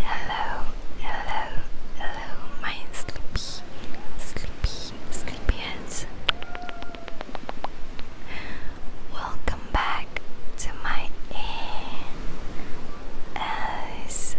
Hello, hello, hello, my sleepy, sleepy, sleepy Welcome back to my ASMR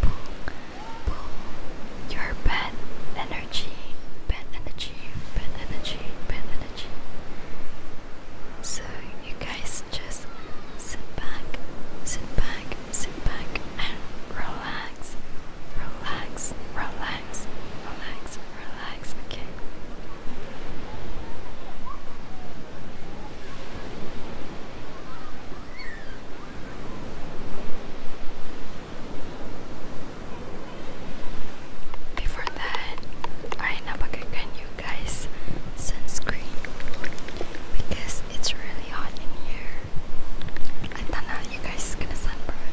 pull your bad energy, bad energy, bad energy, bad energy. So you guys just sit back, sit back, sit back and relax, relax, relax, relax, relax, okay. Before that, I napakakan you guys sunscreen because it's really hot in here. I thought now you guys gonna sunburn.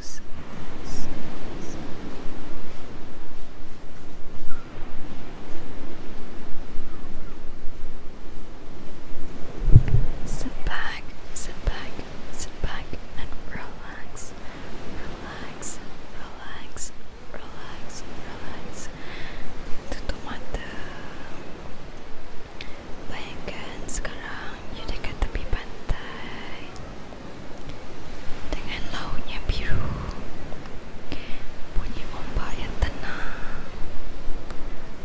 Sit back, sit back, sit back and relax. Relax, relax, relax, relax. Itu mata. Bayangkan sekarang you dekat tepi pantai dengan lautnya biru bunyi ombak yang tenang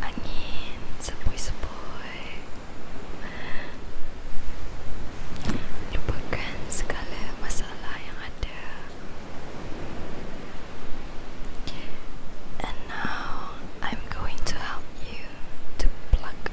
angin sepoi-sepoi lupakan segala masalah yang and now I'm going to help you to pluck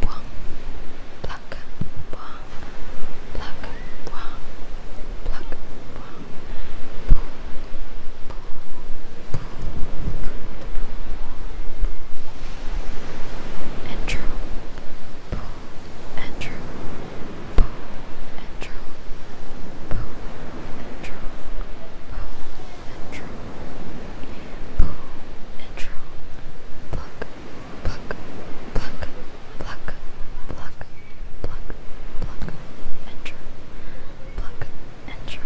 Boing, pluck, boing, pluck, boing, pluck, boing, poo, poo, poo, and true, poo, and true, poo, and true, poo, and true, poo, and true, poo, and true, pluck. Pluck, pluck, pluck, pluck, pluck, pluck, pluck, enter, pluck, enter,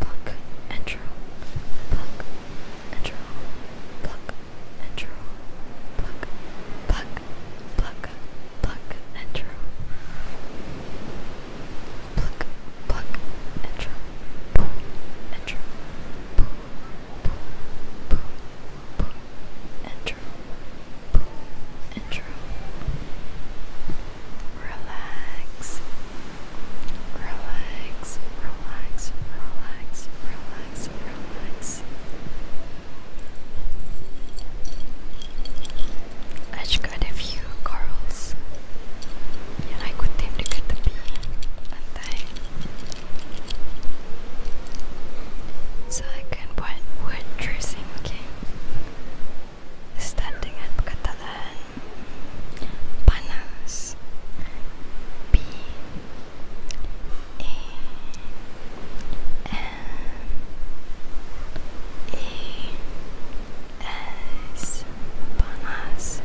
pluck, enter, pluck, enter, pluck, enter, pluck, pluck, pluck, pluck, enter, pluck, pluck, enter, enter, pluck. Intro. Intro. Relax. Relax. Relax. Relax. Relax. Relax. I just got a few corals. Yeah, I could tame to so I can buat word tracing, okay? Start dengan perkataan panas. P A N A S panas.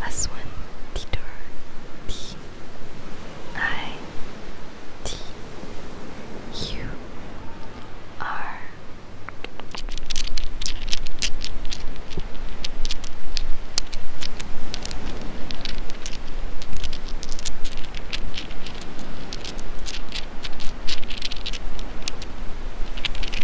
one. Aswan Titor T I T U R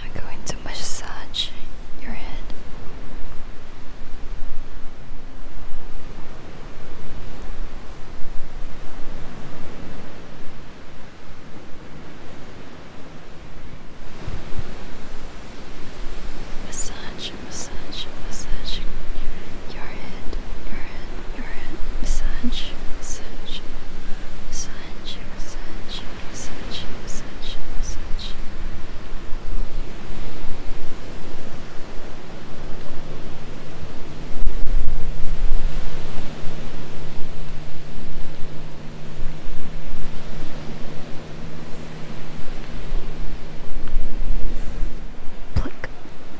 I'm going to massage your head. Massage, massage, massage your head, your head. Your head massage, massage, massage, massage, massage, massage, massage. Pluck,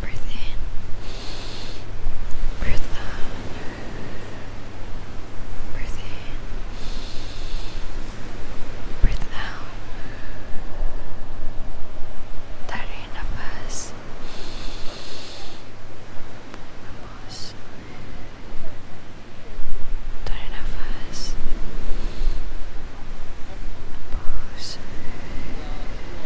Breathe in, breathe out, breathe in, breathe out. Dari nafas, nafas, dari nafas, nafas.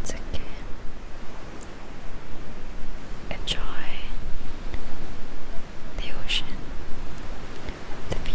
It's okay. Enjoy the ocean, the view.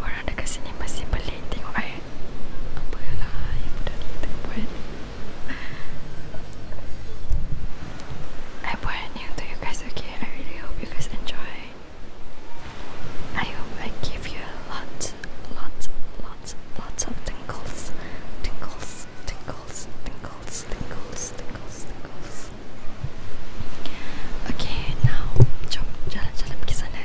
Orang dekat sini masih boleh tengok air right? Umbrella, you do I you guys, okay? I really hope you guys enjoy. I hope I give you a lot, lots, lots, lots of tingles, tingles, tingles, tingles, tingles, tingles, tingles. Okay, now jump, jalan-jalan ke sana.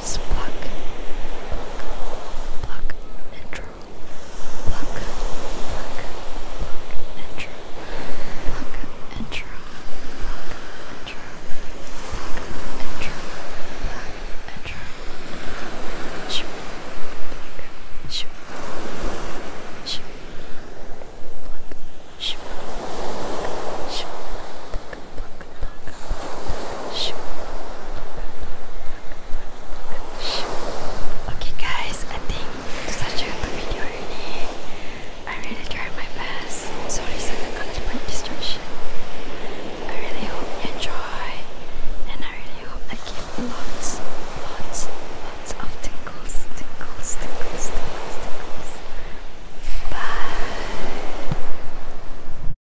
So pluck, pluck, pluck, and draw. Pluck, pluck, pluck, and draw. Pluck and draw. Pluck and draw. Pluck and draw. Pluck and draw. Shoot, pluck, shoot, shoot, pluck, shoot, pluck, shoot, pluck, Okay guys, I think such a good video I really tried my best. Sorry for the constant distraction. I really hope you enjoy and I really hope I give lots, lots, lots of tinkles, tinkles, tinkles, tinkles, tinkles. Bye.